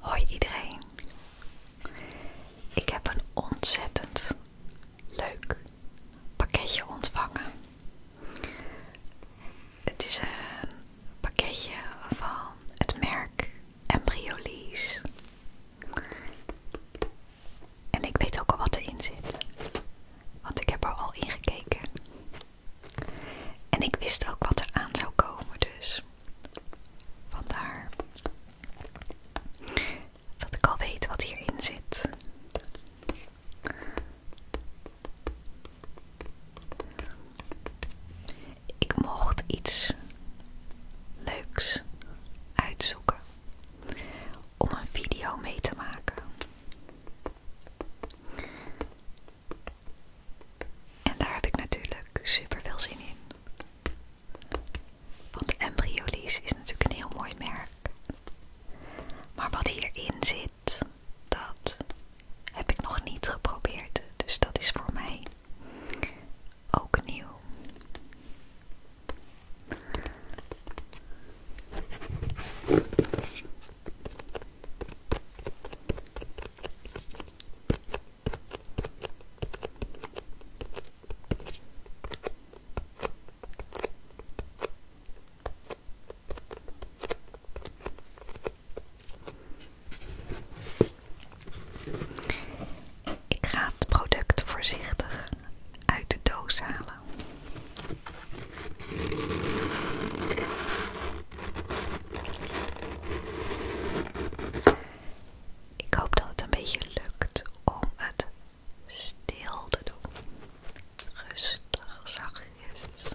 Hoi iedereen. Ik heb een ontzettend leuk pakketje ontvangen. Het is een pakketje van het merk Embryolise. En ik weet ook al wat erin zit. Want ik heb er al in gekeken. En ik wist ook wat er aan zou komen, dus vandaar dat ik al weet wat hierin zit. Ik mocht iets leuks uitzoeken om een video mee te maken. En daar heb ik natuurlijk super veel zin in. Want Embryolise is natuurlijk een heel mooi merk. Maar wat hierin zit, dat heb ik nog niet geprobeerd. Dus dat is voor mij ook nieuw. Ik ga het product voorzichtig uit de doos halen. Ik hoop dat het een beetje lukt om het stil te doen. Rustig, zachtjes.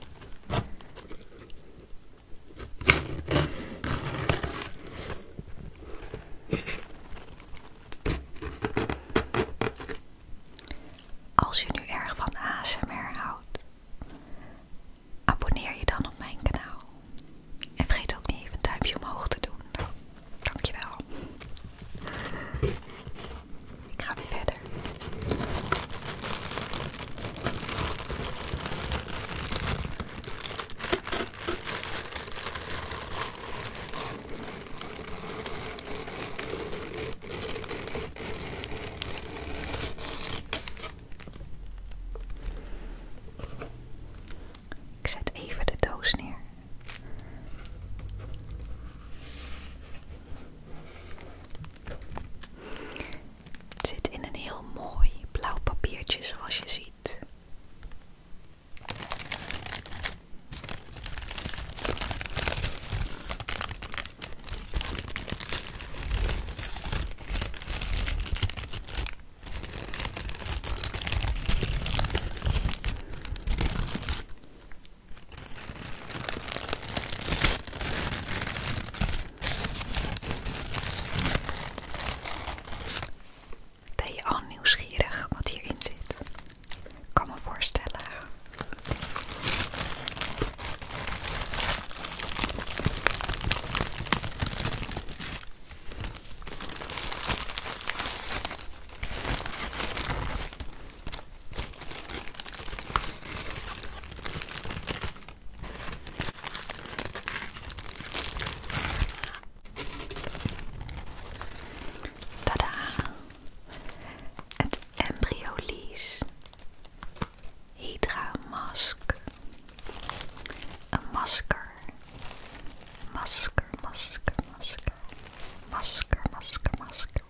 Als je nu erg van ASMR houdt, Abonneer je dan op mijn kanaal. En vergeet ook niet even een duimpje omhoog te doen. Dankjewel. Ik ga verder. Ik zet even de doos neer. zit in een heel mooi blauw papiertje zoals je ziet. Ben je al nieuwsgierig wat hierin zit? kan me voorstellen. Tada! Het embryo lees. Hydra mask. A masker. Masker, masker, masker. Masker, masker, masker.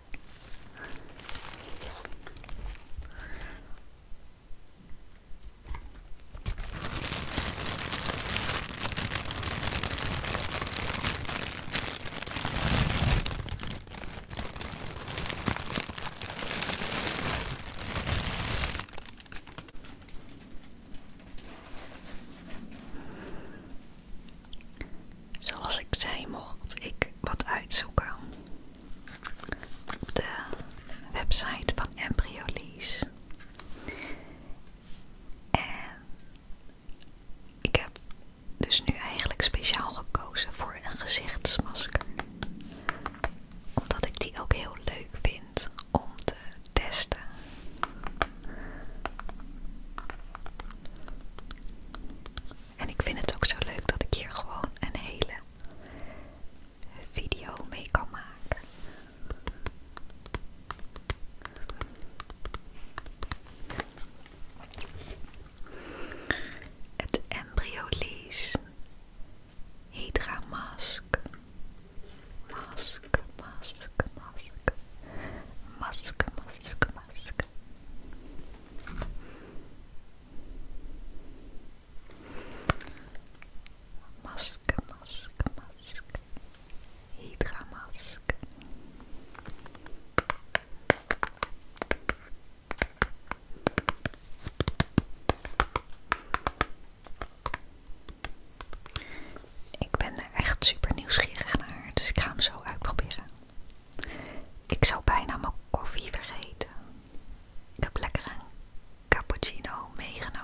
Zoals ik zei, mocht ik wat uitzoeken op de website van Embryolise. En ik heb dus nu eigenlijk speciaal gekozen voor een gezichtsmasker omdat ik die ook heel leuk vind om te testen. En ik vind het ook zo leuk dat ik hier gewoon een hele video mee kan maken. Het embryolease Hydra mask. Mask, mask, mask. Mask, mask, mask. Mask, mask, mask. Hydra mask. Ik ben er echt super nieuwsgierig naar, dus ik ga hem zo uitproberen. Ik zou bijna mijn koffie vergeten. Ik heb lekker een cappuccino meegenomen.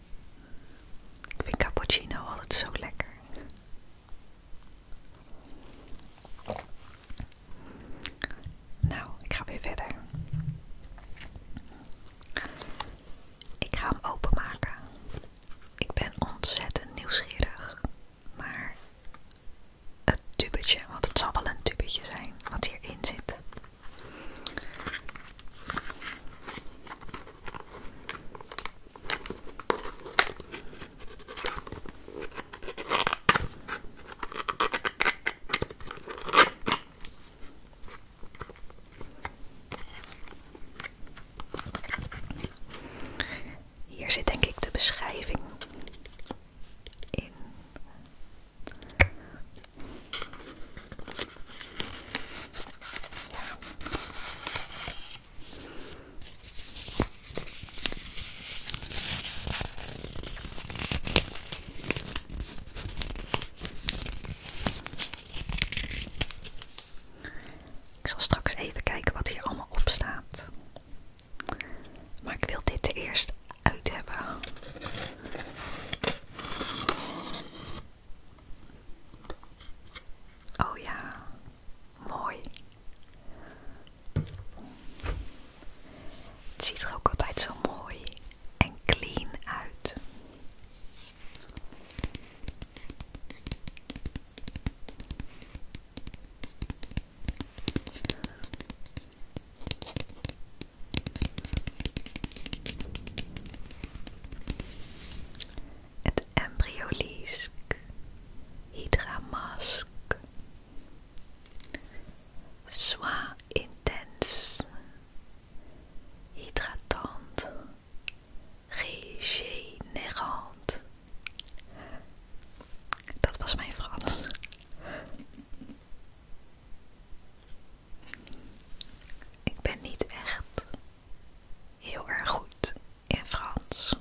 Ik vind cappuccino altijd zo lekker. Nou, ik ga weer verder. Ik ga hem openmaken. Ik ben ontzettend nieuwsgierig naar het tubetje, want het zal wel een tubetje zijn wat hierin zit. Hier zit denk ik de beschrijving in. Ik zal straks even kijken wat hier allemaal op staat. Maar ik wil dit eerst uit hebben. Oh ja, mooi. ziet er ook altijd zo mooi en clean uit het embryolisk, hydramask. Sois intense, hydratante, régénérante. Dat was mijn Frans. Ik ben niet echt heel erg goed in Frans.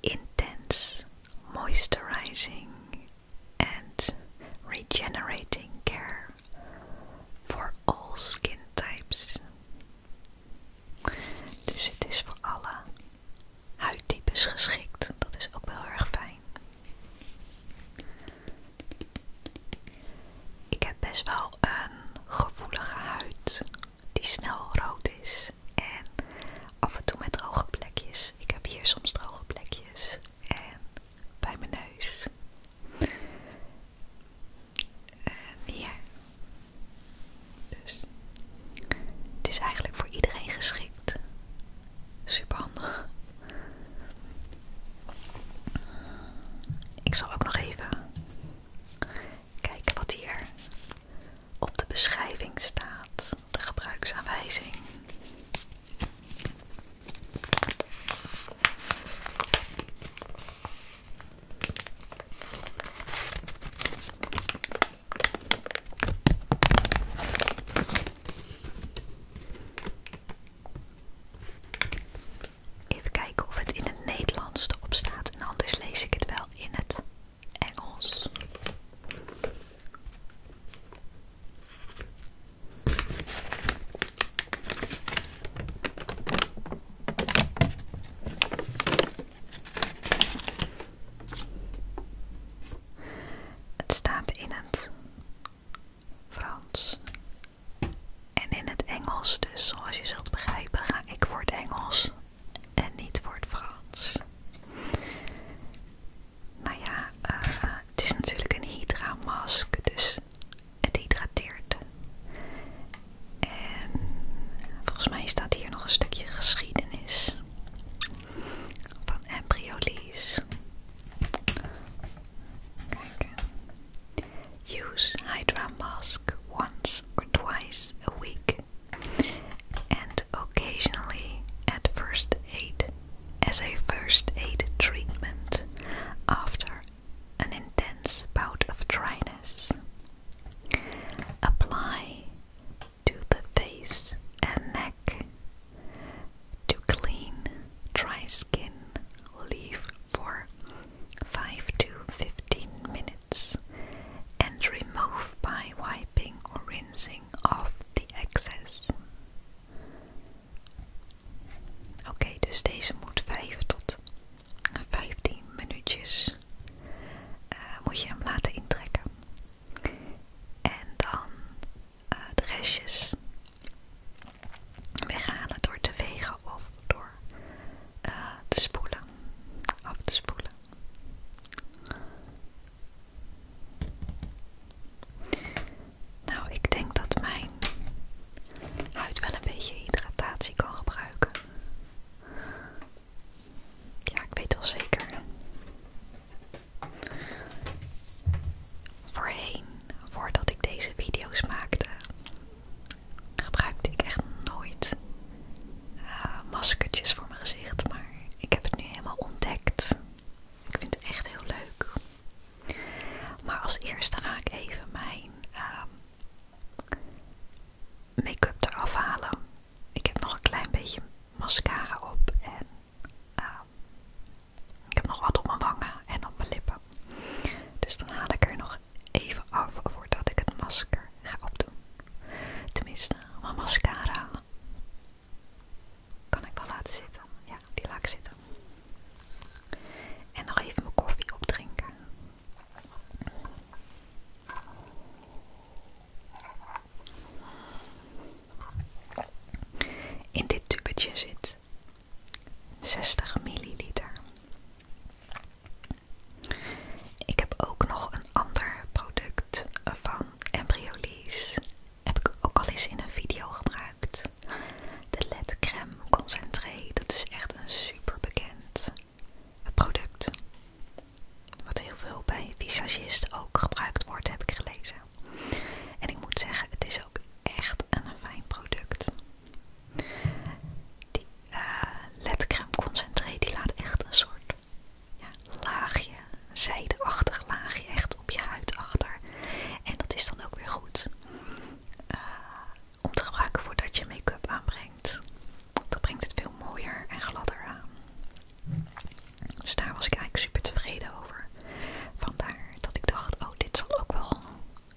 Intense moisturizing and regenerating care for all skin types. Dus het is voor alle huidtypes geschikt. Dat is ook wel erg fijn. Ik heb best wel een gevoelige huid die snel rood is. En af en toe met droge plekjes. Ik heb hier soms droge plekjes. En bij mijn neus. En hier. Dus. Het is eigenlijk voor iedereen geschikt. Ik zal ook nog even kijken wat hier op de beschrijving staat. De gebruiksaanwijzing. Even kijken of het in het Nederlands erop staat. En anders lees ik het wel in het Engels. Het staat in het Frans. En in het Engels, dus zoals je zult begrijpen, ga ik voor het Engels en niet voor het Frans. Nou ja, eh, het is natuurlijk een Hydra-mask, dus het hydrateert. En volgens mij staat hier nog een stukje geschiedenis van embryolyse. Use Hydra mask once or twice a week and occasionally at first aid as a first aid treatment after an intense bout of dryness. Apply to the face and neck to clean dry skin, leave for 5 to 15 minutes and remove by wiping or rinsing off the excess. okay, dus deze moet 5 tot 15 minuutjes eh, moet je hem laten intrekken. En dan de restjes het door te wegen of door eh, te spoelen, af te spoelen. Nou, ik denk dat mijn huid wel een beetje hydratatie kan gebruiken. Ja, ik weet wel zeker. Voorheen, voordat ik deze video's maakte, gebruikte ik echt nooit eh, maskertjes voor mijn gezicht, maar ik heb het nu helemaal ontdekt. Ik vind het echt heel leuk. Maar als eerste ga ik even mijn ehm, make-up eraf halen. Ik heb nog een klein beetje mascara op en Ah. ik heb nog wat op mijn wangen en op mijn lippen. Dus dan haal ik er nog even af voordat ik het masker ga opdoen. Tenminste, mijn mascara kan ik wel laten zitten. Ja, die laat zitten. En nog even mijn koffie opdrinken. In dit tubetje zit 60 milliliter. Ik heb ook nog een ander product van Embryolisse. Heb ik ook al eens in een video gebruikt. De LED Crème Concentré. Dat is echt een super bekend product. Wat heel veel bij visagisten ook gebruikt wordt, heb ik gelezen. En ik moet zeggen, het is ook echt een fijn product. Die eh, ledcrème concentré die laat echt een soort laagje, zijdeachtig laagje echt op je huid achter. En dat is dan ook weer goed eh, om te gebruiken voordat je make-up aanbrengt. Dan brengt het veel mooier en gladder aan. Dus daar was ik eigenlijk super tevreden over. Vandaar dat ik dacht, oh dit zal ook wel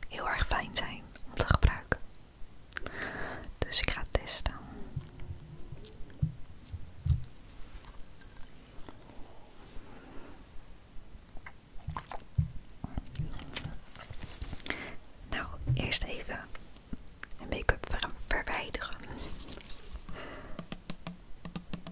heel erg fijn zijn om te gebruiken. Dus ik ga testen. Nou, eerst even mijn make-up verwijderen.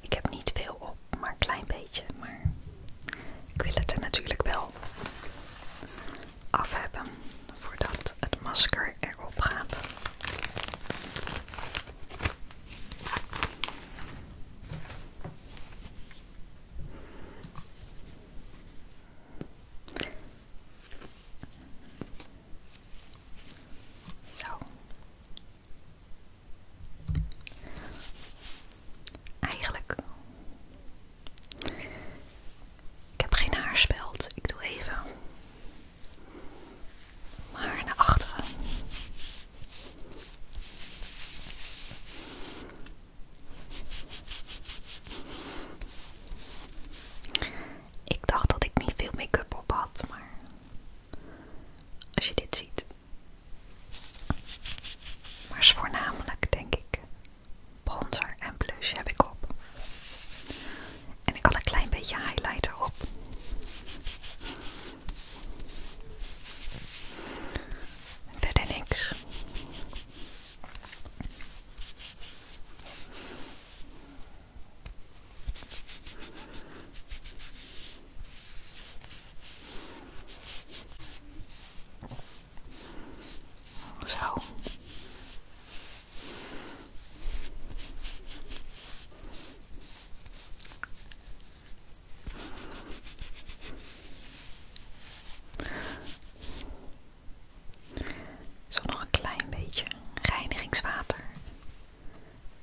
Ik heb niet veel op, maar een klein beetje. Maar ik wil het er natuurlijk wel af hebben voordat het masker erop gaat. Zo. Eigenlijk. Ik heb geen haarspeld. Ik doe even. Maar naar achteren. Ik dacht dat ik niet veel make-up op had, maar als je dit ziet, maar is voornamelijk, denk ik, bronzer en blush heb ik op. En ik had een klein beetje highlighter op. Verder niks. Zo. Zo nog een klein beetje reinigingswater.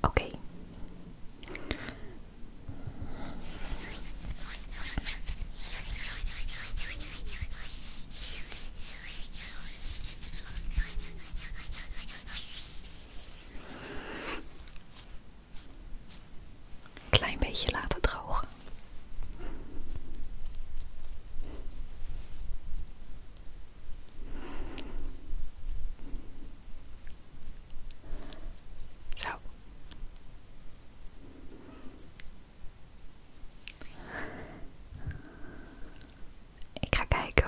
Oké. Klein beetje laten drogen. Zo. Ik ga kijken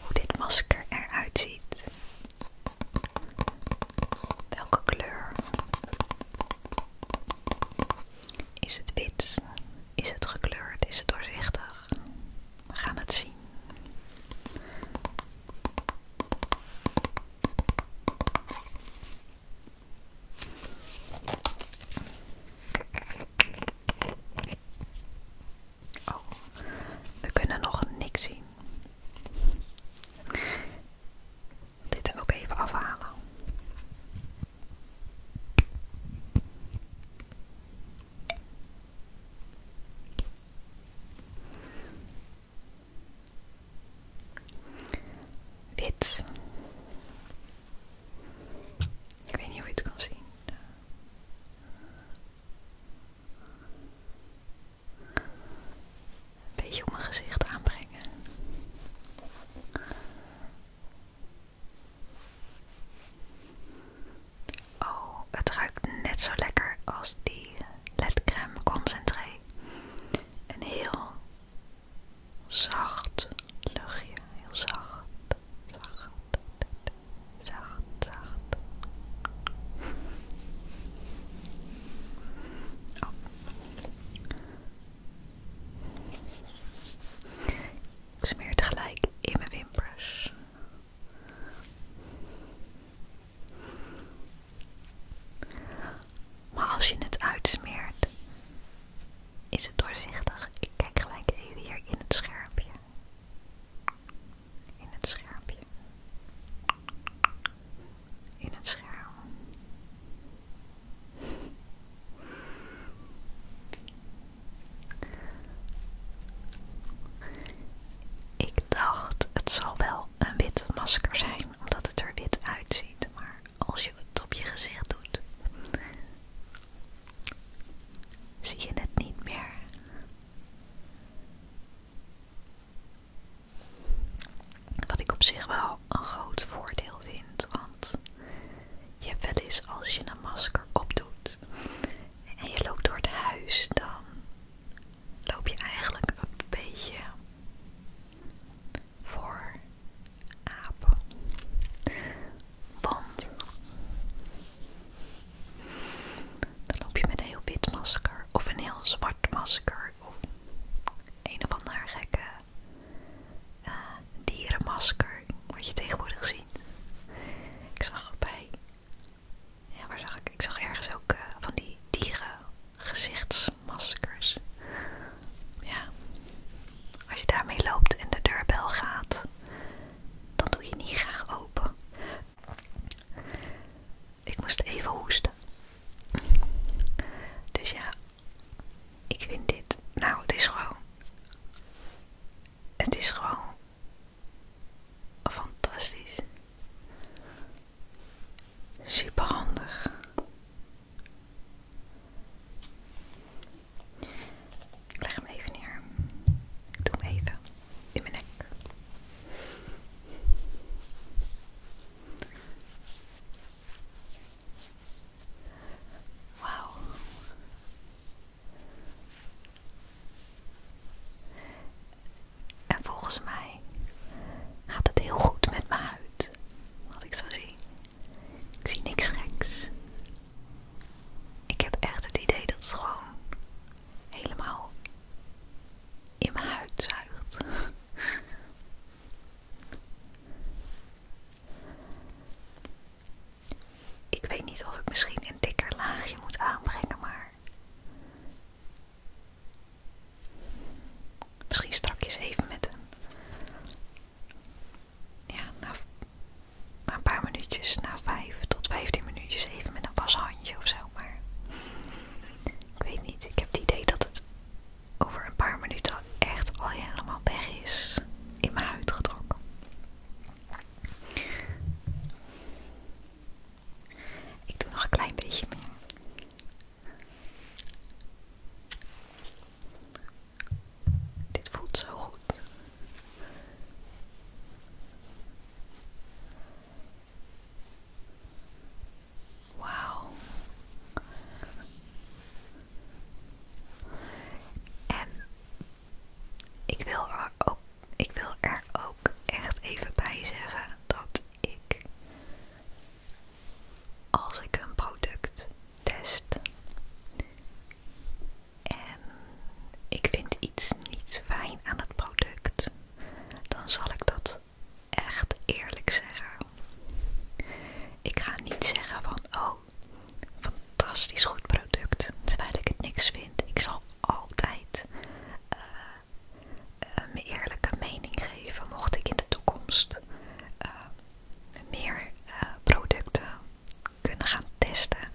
hoe dit masker eruit ziet. Welke kleur is het wit? Is het gekleurd? Is het doorzichtig? We gaan het zien. Oh, we kunnen nog niks zien dit er ook even afhalen. Wit. Ik weet niet hoe je het kan zien. Een beetje op mijn gezicht aanbrengen. Oh, het ruikt net zo lekker als die ledcrème concentré. Een heel zacht luchtje, heel zacht, zacht, zacht, zacht. Oh. Ik smeer tegelijk in mijn wimpers. Maar als je het uitsmeert, is het doorzichtig. Ik kijk gelijk even hier in het schermpje. In het schermpje. In het scherm. Ik dacht, het zal wel een wit masker zijn, omdat het er wit uitziet. Maar als je het op je gezicht doet, zie je het niet meer. Wat ik op zich wel een groot voordeel vind. Want je hebt wel eens als je een masker opdoet en je loopt door het huis, dan loop je eigenlijk een beetje voor apen. Want dan loop je met een heel wit masker of een heel zwart masker of een of ander gekke eh, dierenmasker, wat je tegenwoordig ziet. Ik zag bij, ja waar zag ik, ik zag ergens ook eh, van die dierengezichtsmaskers. Ja, als je daarmee loopt en de deurbel gaat, dan doe je niet graag open. Ik moest even hoesten. Dus ja, ik vind dit. Nou, het is gewoon. Het is gewoon. Fantastisch. Super handig. Ik leg hem even neer. Ik doe hem even in mijn nek. Wauw. En volgens mij gaat het heel goed met mijn huid. Wat ik zo zie. Ik zie niks geks. Ik heb echt het idee dat het gewoon helemaal in mijn huid zuigt. Ik weet niet of ik misschien een dikker laagje moet aanbrengen, maar misschien strakjes even met een. Ja, na, een paar minuutjes, na 5 tot 15 minuutjes, even met een washandje of zo. Maar ik weet niet, ik heb het idee dat het over een paar minuten echt al helemaal weg is in mijn huid getrokken. Ik doe nog een klein beetje meer. Dit voelt zo goed. Wauw. En ik wil, er ook, echt even bij zeggen dat ik, als ik een product test en ik vind iets niet fijn aan het product, dan zal ik dat echt eerlijk zeggen. Ik ga niet zeggen van, oh, Fantastisch goed product. Terwijl ik het niks vind. Ik zal altijd eh, eh, mijn eerlijke mening geven. Mocht ik in de toekomst eh, meer producten kunnen gaan testen.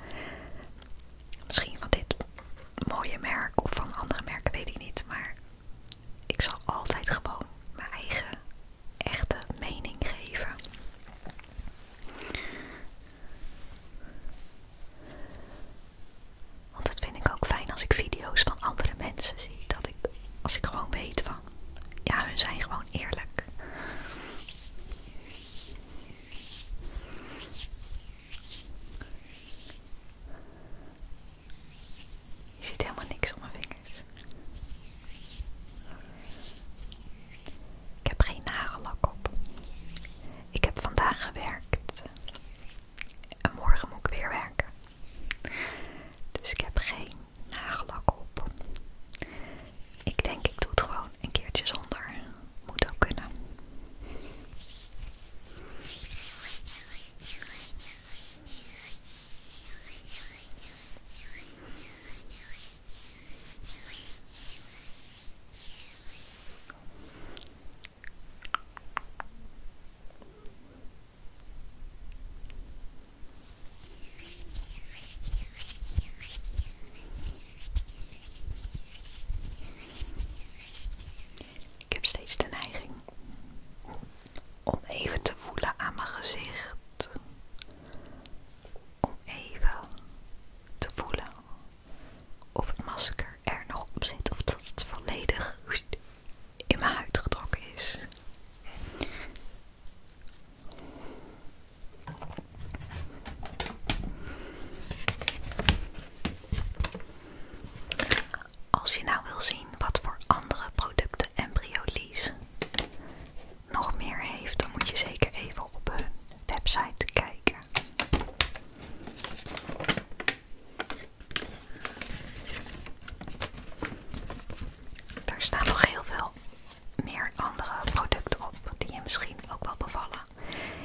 Misschien van dit mooie merk of van andere merken, weet ik niet. Maar ik zal altijd gewoon mijn eigen echte mening geven. Want dat vind ik ook fijn als ik video's van andere mensen zie. Dat ik, als ik gewoon weet van, ja, hun zijn gewoon eerlijk. Je ziet helemaal niks om mijn vinger. Ik heb geen nagellak op. Ik heb vandaag gewerkt. En morgen moet ik weer werken. Dus ik heb geen nagellak op. Ik denk ik doe het gewoon een keertje zonder. Moet ook kunnen. Ik heb steeds de neiging om even te voelen aan mijn gezicht om even te voelen of het masker er nog op zit of dat het volledig in mijn huid getrokken is. Als je nou wil zien wat voor andere producten Lees nog meer heeft, dan moet je zeker even op hun website kijken. Daar staan nog heel veel meer andere producten op die je misschien ook wel bevallen.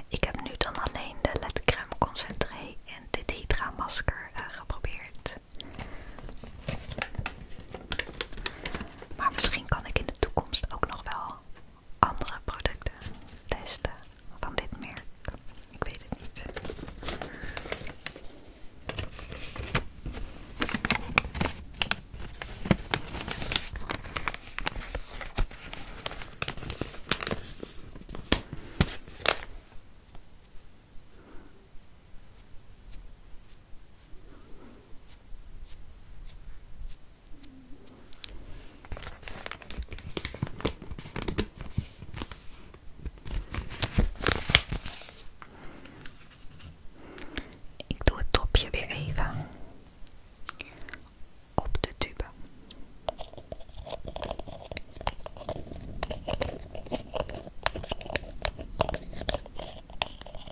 Ik heb nu dan alleen de Let Crème Concentré en dit Hydra masker aangeprobeerd. Eh, geprobeerd. Maar misschien kan ik in de toekomst ook nog wel andere producten testen van dit merk. Ik weet het niet. Ik doe het topje weer even op de tube.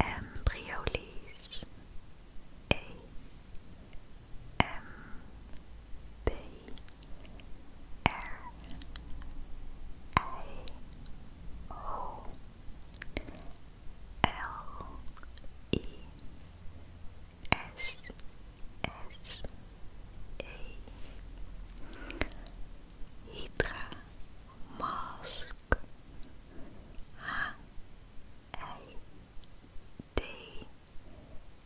Embryolis A M B R A O L E S S A Hydra Mosque H A D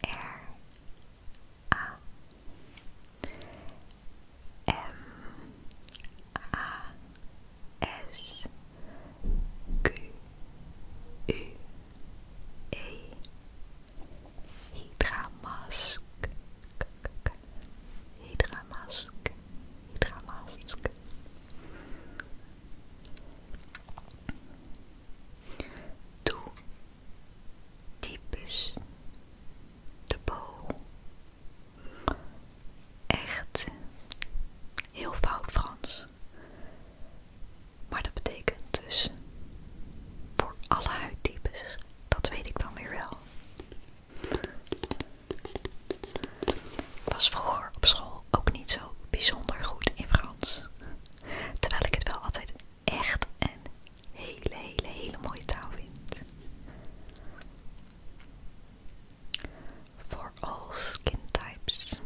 R A M A S Q U E Hydra Mask K -k -k Hydramask, Mask. Hydra diepes De boog. Echt heel fout Frans. Maar dat betekent dus voor alle huidtypes. Dat weet ik dan weer wel. Ik was vroeger op school ook niet zo bijzonder goed in Frans. Terwijl ik het wel altijd echt een hele, hele, hele mooie taal vind. For all skin types.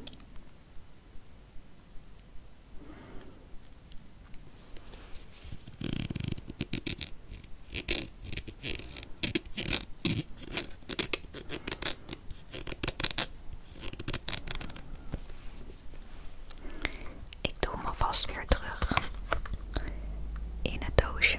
Ik doe hem alvast weer terug in het doosje.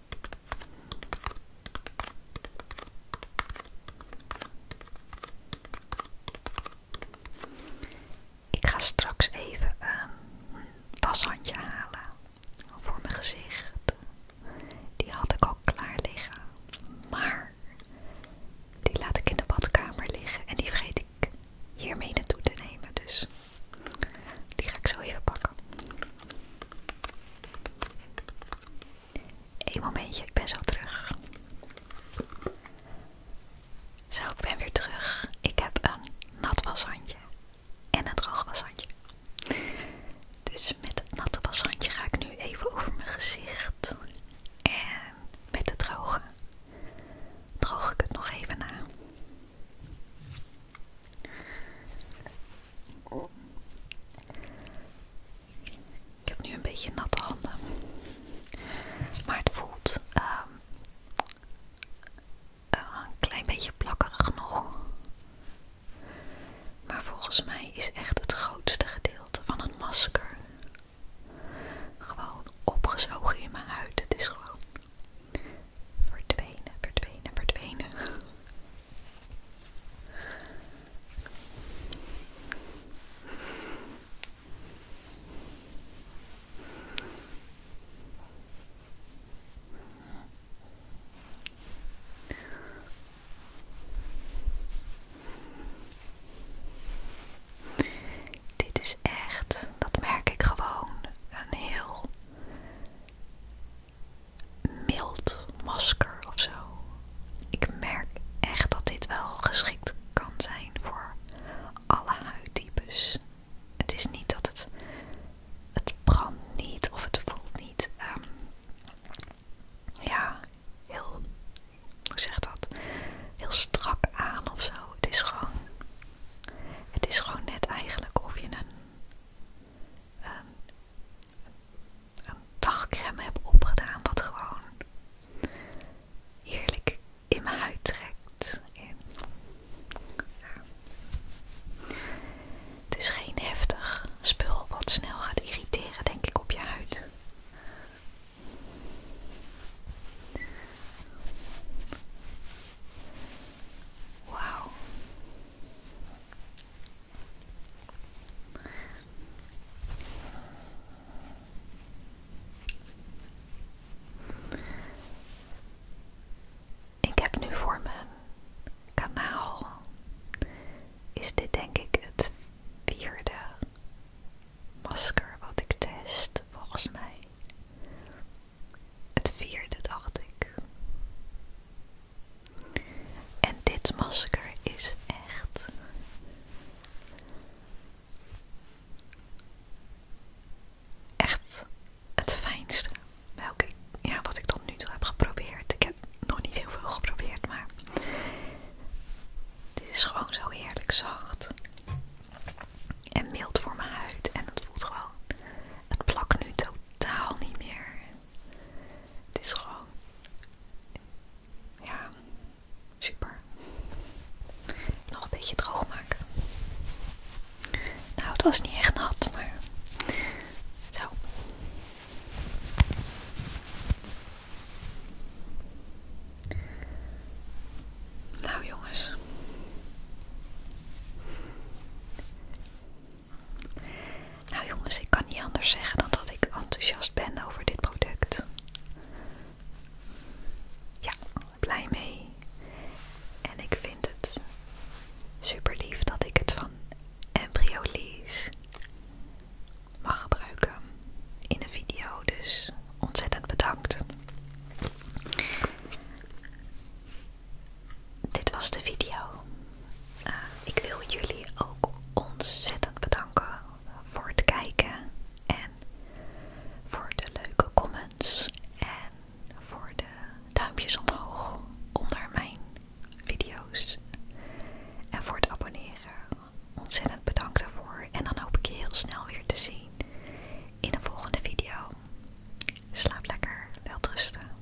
Ik ga straks even een washandje halen voor mijn gezicht. Die had ik al klaar liggen, maar die laat ik in de badkamer liggen en die vergeet ik hiermee naartoe te nemen. Dus die ga ik zo even pakken. Eén momentje, ik ben zo terug. Zo, ik ben weer terug. Ik heb een nat washandje en een droog washandje. Dus met het natte washandje ga ik nu even over mijn gezicht. En met het droge droog ik het nog even na. Ik heb nu een beetje natte handen. Maar het voelt ehm, eh, een klein beetje plakkerig nog. Maar volgens mij is echt het grootste gedeelte van een masker gewoon opgezogen in mijn huid. Het is gewoon verdwenen, verdwenen, verdwenen. Dit is echt, dat merk ik gewoon, een heel mild masker ofzo. Ik merk echt dat dit wel geschikt kan zijn voor alle huidtypes. Het is niet dat het, het brandt niet of het voelt niet. Ehm, ja, heel, hoe zeg dat? Heel strak aan ofzo. Het is gewoon, het is gewoon net eigenlijk of je een een dagcrème heb opgedaan wat gewoon heerlijk in mijn huid trekt. Het is geen heftig spul wat snel gaat irriteren, denk ik, op je huid. Wauw. Ik heb nu voor mijn kanaal is dit denk ik het vierde masker wat ik test volgens mij. Het vierde dacht ik. En dit masker is echt. Echt het fijnste. Welke, ja, wat ik tot nu toe heb geprobeerd. Ik heb nog niet heel veel geprobeerd, maar. Dit is gewoon zo heerlijk zacht. En mild voor mijn huid. En het voelt gewoon. Het plakt nu totaal niet meer. Het is gewoon. Ja, super. Nog een beetje droog maken. Nou, het was niet echt nat, maar. Zo. Nou jongens. Nou jongens, ik kan niet anders zeggen dan dat ik enthousiast ben over dit product. Ja, blij mee. En ik vind het super lief dat ik het van Embryolise mag gebruiken in een video. Dus ontzettend bedankt. Dit was de video. Eh, ik wil jullie ook ontzettend bedanken voor het kijken en voor de leuke comments en voor de duimpjes omhoog onder mijn video's en voor het abonneren. Ontzettend bedankt daarvoor en dan hoop ik je heel snel weer te zien in een volgende video. Slaap lekker, welterusten.